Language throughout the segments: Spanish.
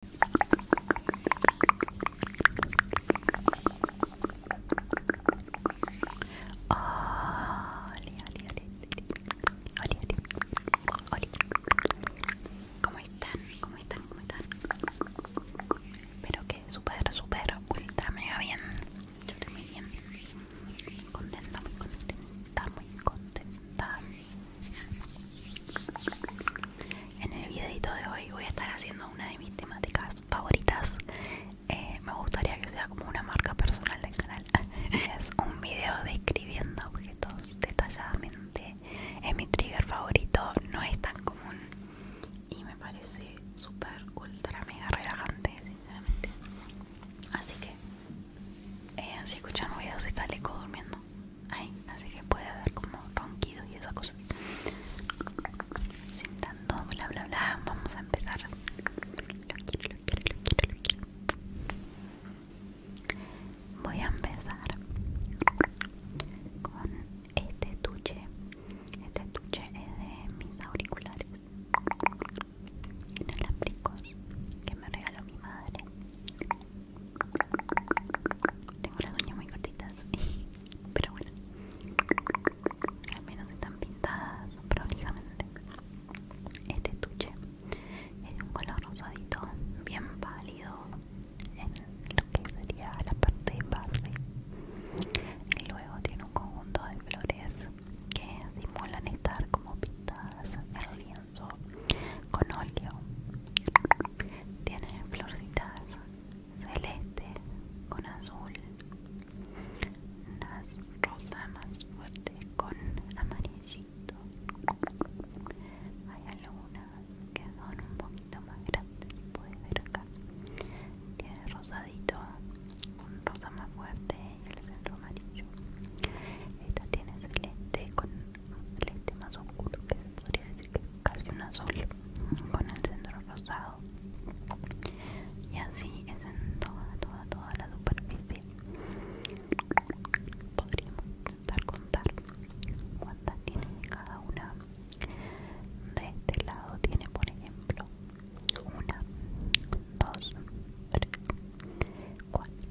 ¿Cómo están? ¿Cómo están? ¿Cómo están? Espero que súper, súper, ultra mega bien. Yo estoy muy bien. contenta, muy contenta, muy contenta. En el videito de hoy voy a estar haciendo una de mis temáticas favoritas. Eh, me gustaría que sea como una marca personal del canal. es un video describiendo objetos detalladamente. Es mi trigger favorito, no es tan común y me parece súper, ultra, mega relajante, sinceramente. Así que, eh, si escuchan ruidos, está el durmiendo. Ay, así que puede haber como ronquidos y esas cosas. Sin bla bla bla, vamos a empezar. Lo lo quiero, lo quiero, lo quiero. Voy a empezar con este estuche. Este estuche es de mis auriculares inalámbricos que me regaló mi madre tengo las uñas muy cortitas, pero bueno, al menos están pintadas prolijamente. Este estuche es de un color rosadito, bien pálido, en lo que sería la parte base. Y luego tiene un conjunto de flores que simulan estar como pintadas con óleo tiene florcitas celeste con azul las rosa más fuerte con amarillito hay algunas que son un poquito más grandes puedes ver acá tiene rosadito un rosa más fuerte y el centro amarillo esta tiene celeste con el este más oscuro que se podría decir que es casi un azul con el centro rosado y así es en toda toda toda la superficie podríamos intentar contar cuántas tiene cada una de este lado tiene por ejemplo una dos tres cuatro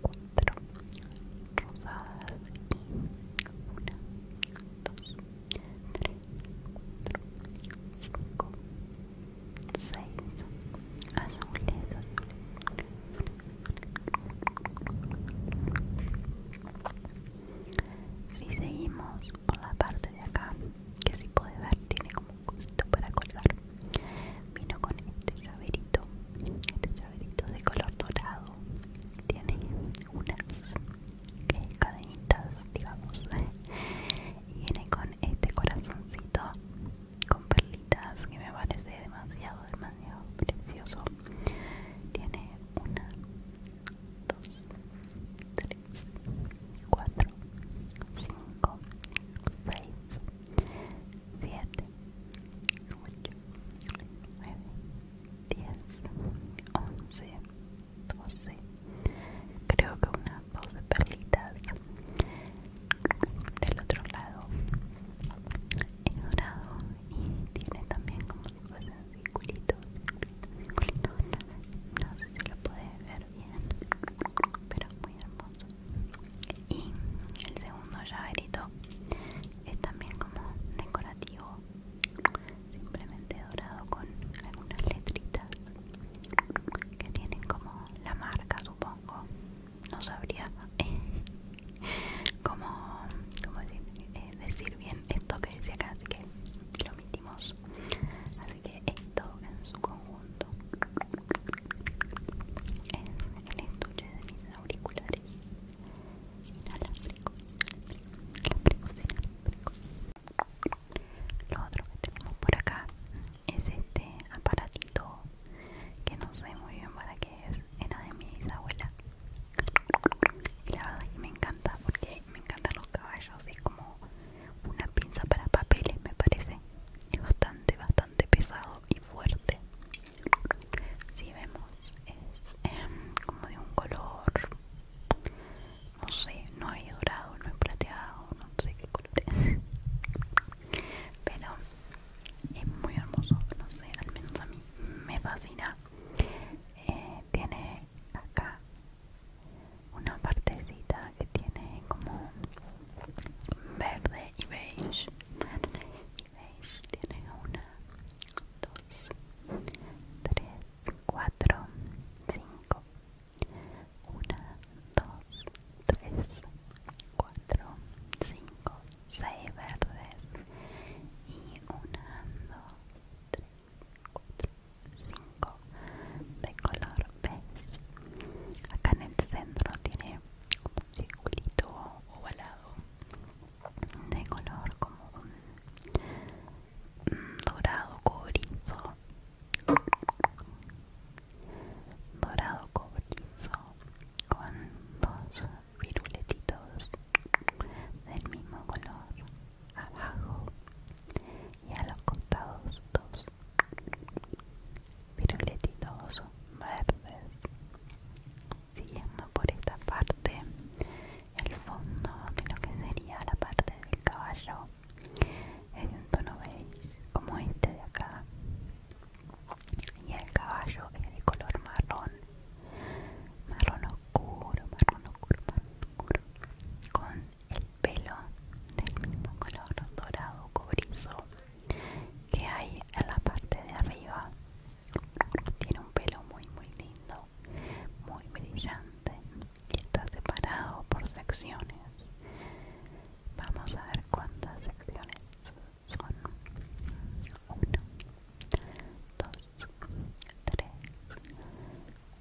cuatro rosadas y una, dos, tres, cuatro, cinco, seis azules, azules. Si seguimos por la parte de acá, que si puede ver tiene como un cosito para colgar Vino con este llaverito, este llaverito de color dorado. Tiene unas cadenitas, digamos. Y viene con este corazoncito con perlitas que me parece demasiado, demasiado precioso. Tiene una, dos, tres, cuatro, cinco, seis, siete. 8, 9, 10, 11, 12. Creo que unas 12 perlitas del otro lado es dorado y tiene también como si fuesen circulitos, circulitos, circulitos. No, no sé si lo podéis ver bien, pero es muy hermoso y el segundo llaverito es también como decorativo simplemente dorado con algunas letritas que tienen como la marca supongo no sabría cómo, eh, decir, bien esto que dice acá así que lo mitimos. así que esto en su conjunto es el estuche de mis auriculares inalámbricos lo otro que tenemos por acá es este aparatito que no sé muy bien para qué es era de mi bisabuela y la verdad es que me encanta porque me encantan los caballos es como una pinza para papeles me parece es bastante bastante pesado fuerte si vemos es em, como de un color no sé no hay dorado no hay plateado no sé qué color es pero es muy hermoso no sé al menos a mí me fascina eh, tiene acá una partecita que tiene como verde y beige beige tiene una dos tres cuatro cinco una dos tres cuatro cinco seis verdes y una dos tres cuatro cinco de color beige acá en el centro tiene un circulito ovalado de color como un mm, dorado cobrizo dorado cobrizo con dos viruletitos del mismo color abajo y a los costados dos letitos verdes. Siguiendo por esta parte, el fondo de lo que sería la parte del caballo es de un tono beige, como este de acá. Y el caballo es de color marrón, marrón oscuro, marrón oscuro, marrón oscuro, con el pelo del mismo color dorado cobrizo que hay en la parte de arriba tiene un pelo muy muy lindo muy brillante y está separado por secciones vamos a ver cuántas secciones son 1 2 3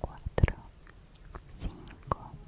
4 5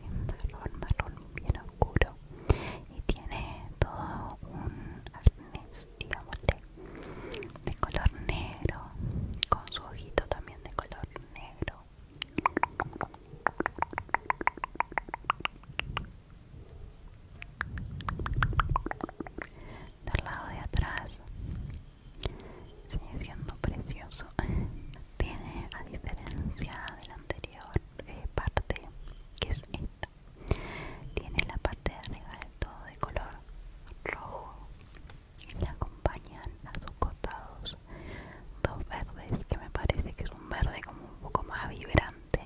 marrón, marrón bien oscuro y tiene todo un arnés, digámosle, de color negro, con su ojito también de color negro. Del lado de atrás sigue siendo precioso. Tiene, a diferencia de la anterior eh, parte que es esta tiene la parte de arriba todo de color rojo y le acompañan a sus costados dos verdes que me parece que es un verde como un poco más vibrante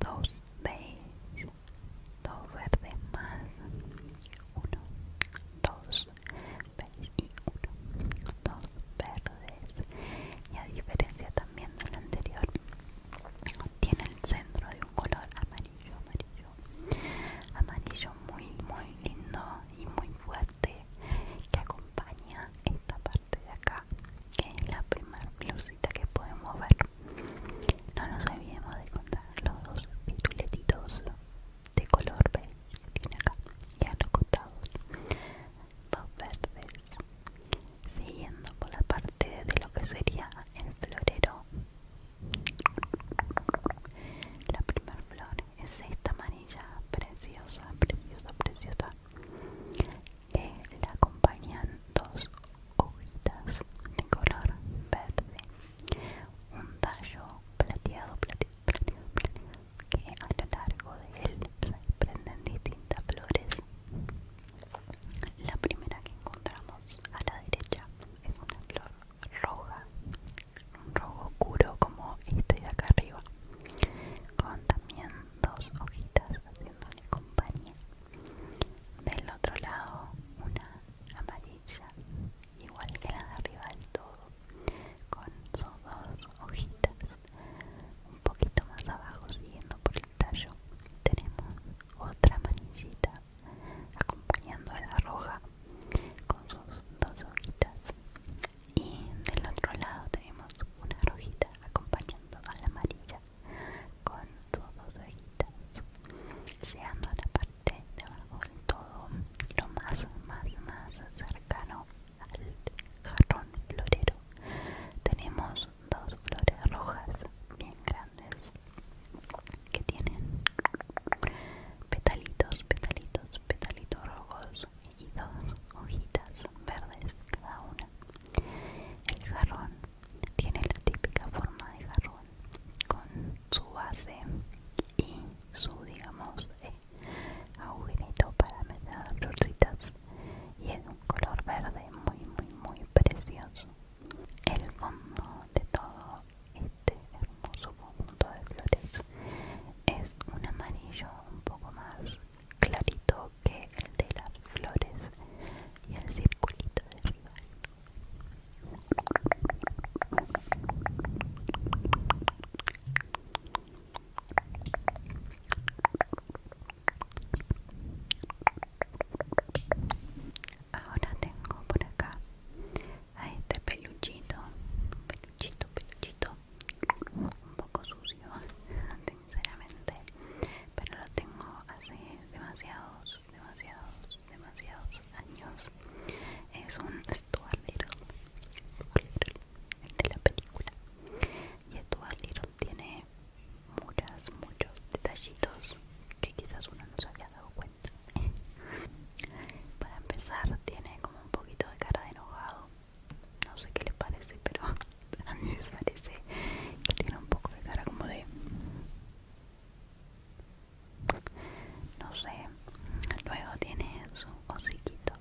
dos beige dos verdes más uno dos y uno, dos verdes y a diferencia también del anterior tiene el centro de un color amarillo amarillo amarillo muy muy lindo y muy fuerte que acompaña esta parte de acá que es la primera blusita que podemos ver no nos olvidemos de contar los dos pituletitos de color verde tiene acá los costados dos verdes siguiendo por la parte de lo que sería el florero la primera flor es esta amarilla preciosa preciosa preciosa que la acompañan dos hojitas de color verde un tallo plateado plateado que a lo largo de él se prenden distintas flores. La primera que encontramos a la derecha es una flor roja, un rojo oscuro como este de acá arriba, con también dos hojitas haciéndole compañía. Del otro lado una amarilla igual que la de arriba del todo con sus dos hojitas un poquito más abajo siguiendo por el tallo tenemos otra manillita acompañando a la roja con sus dos hojitas y del otro lado tenemos una rojita acompañando a la amarilla con sus dos hojitas llegando a la parte de, de todo lo más, más, más cercano al jarrón florero tenemos dos flores rojas bien grandes que tienen petalitos, petalitos, petalitos rojos y dos hojitas verdes cada una. El jarrón tiene la típica forma de jarrón con su base y su digamos de agujerito para meter florcitas y es un color verde muy muy muy precioso el fondo de todo este hermoso conjunto de flores es un amarillo un poco más clarito que el de las flores y el circulito de arriba Ahora tengo por acá a este peluchito, peluchito, peluchito, un poco sucio, sinceramente, pero lo tengo hace demasiados, demasiados demasiados años es un Stuart Little, de la película y Stuart Little tiene muchas, muchos detallitos que quizás uno no se había dado cuenta para empezar tiene como un poquito de cara de enojado no sé qué le parece pero a mí me parece que tiene un poco de cara como de no sé luego tiene su hociquito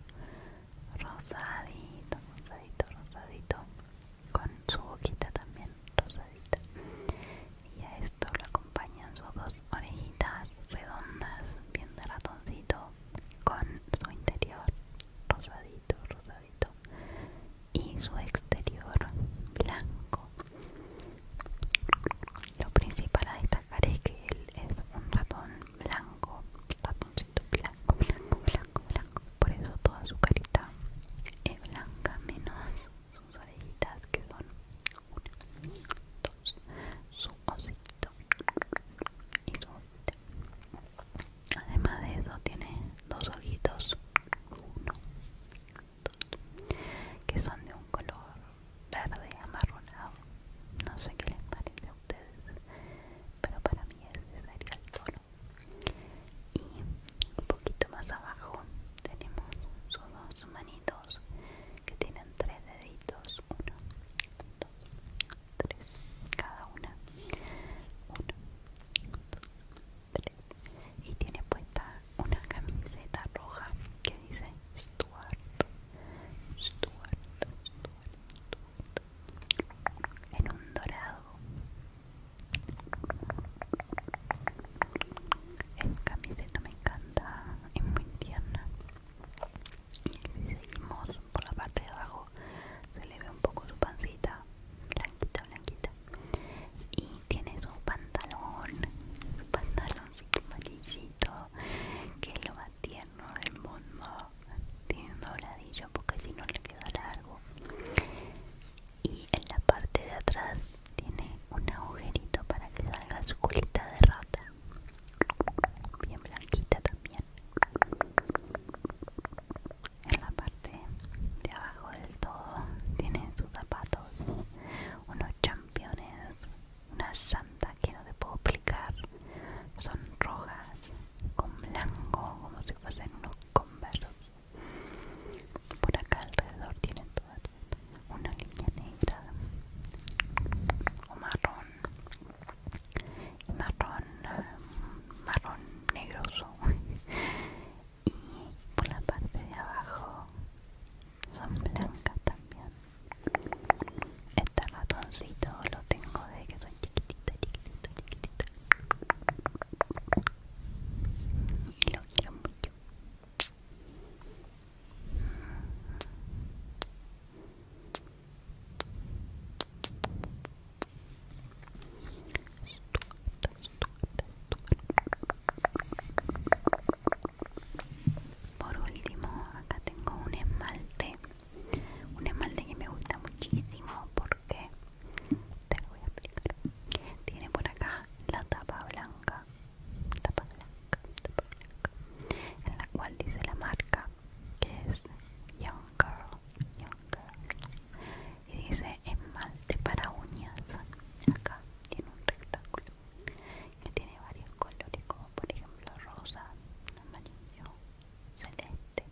rosadito rosadito rosadito con su boquita también rosadita y a esto lo acompañan sus dos orejitas redondas bien de ratoncito con su interior rosadito rosadito y su exterior blanco lo principal a destacar es que él es un ratón blanco, ratoncito blanco, blanco, blanco, blanco. Por eso toda su carita es blanca, menos sus orejitas que son unos dos, su osito y su ojito. Además de eso tiene dos ojitos, uno que son de un color verde amarronado no sé qué les parece a ustedes pero para mí ese sería el tono y un poquito más abajo tenemos sus dos manitos que tienen tres deditos uno, dos, tres cada una uno, dos, tres y tiene puesta una camiseta roja que dice Stuart, Stuart, Stuart, Stuart en un dorado. Esta camiseta me encanta, es muy tierna. Y si seguimos por la parte de abajo, se le ve un poco su pancita, blanquita, blanquita. Y tiene su pantalón, su pantaloncito que es lo más tierno del mundo. Tiene un dobladillo porque si no le queda largo. Y en la parte de atrás tiene un agujerito para que salga su culita de rata. Bien blanquita también. En la parte de abajo del todo tiene sus zapatos, unos campeones una santa que no te puedo explicar, son rojas con blanco como si fuesen unos conversos. Por acá alrededor tienen todas una línea negra o marrón marrón eh, marrón negroso y por la parte de abajo son blancas también este ratoncito lo tengo de que son chiquitita chiquitita chiquitita y lo quiero mucho por último, acá tengo un esmalte, un esmalte que me gusta muchísimo porque te lo voy a explicar. Tiene por acá la tapa blanca, tapa blanca, tapa blanca, en la cual dice la marca que es Young Girl, Young Girl, y dice esmalte para uñas acá tiene un rectángulo que tiene varios colores como por ejemplo rosa amarillo celeste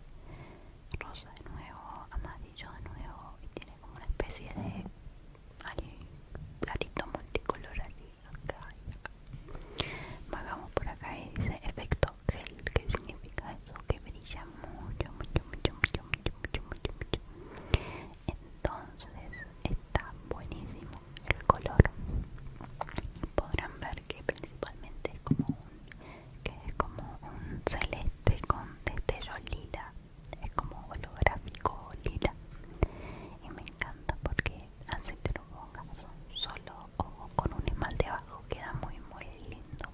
rosa de nuevo amarillo de nuevo y tiene como una especie de platito multicolor aquí acá y acá vagamos por acá y dice efecto gel que significa eso que brilla mucho mucho mucho mucho mucho mucho mucho entonces está buenísimo el color podrán ver que principalmente es como un como un celeste con destello lila es como holográfico lila y me encanta porque así que lo pongas solo o con un esmalte abajo queda muy muy lindo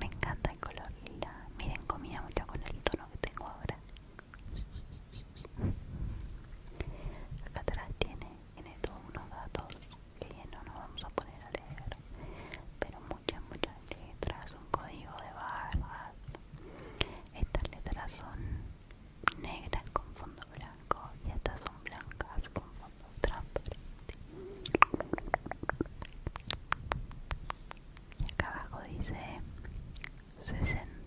me encanta el color lila. Miren, comíamos ya con el tono que tengo ahora. Acá atrás tiene, en todos unos datos que no nos vamos a poner a leer. Pero muchas, muchas letras, un código de barras. Estas letras son negras con fondo blanco y estas son blancas con fondo transparente. Y acá abajo dice 61,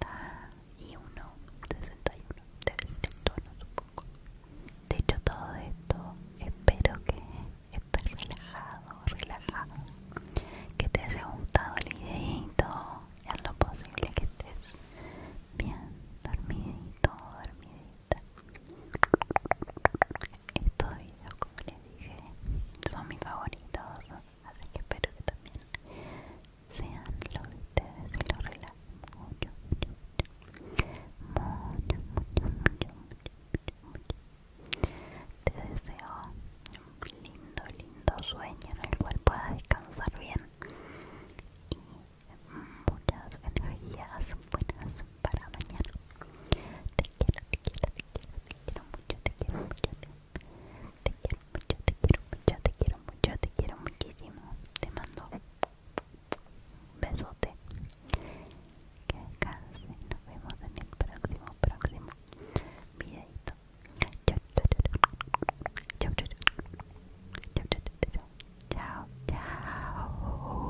61 te ser el tono supongo. De hecho todo esto espero que estés relajado, relajado, que te haya gustado el videito, es lo posible que estés bien dormidito, dormidita. Estos videos, como les dije, son mis favoritos, así que espero que también sean los de ustedes y los relajen mucho, mucho, mucho, mucho, mucho, mucho, mucho. Te deseo un lindo, lindo sueño en el cual puedas descansar bien y muchas energías buenas para mañana. Te quiero, te quiero, te quiero, te quiero mucho, te quiero mucho. Te, quiero mucho, te quiero mucho, te quiero muchísimo. Te mando un besote. Que Nos vemos en el próximo, próximo videito. chao chao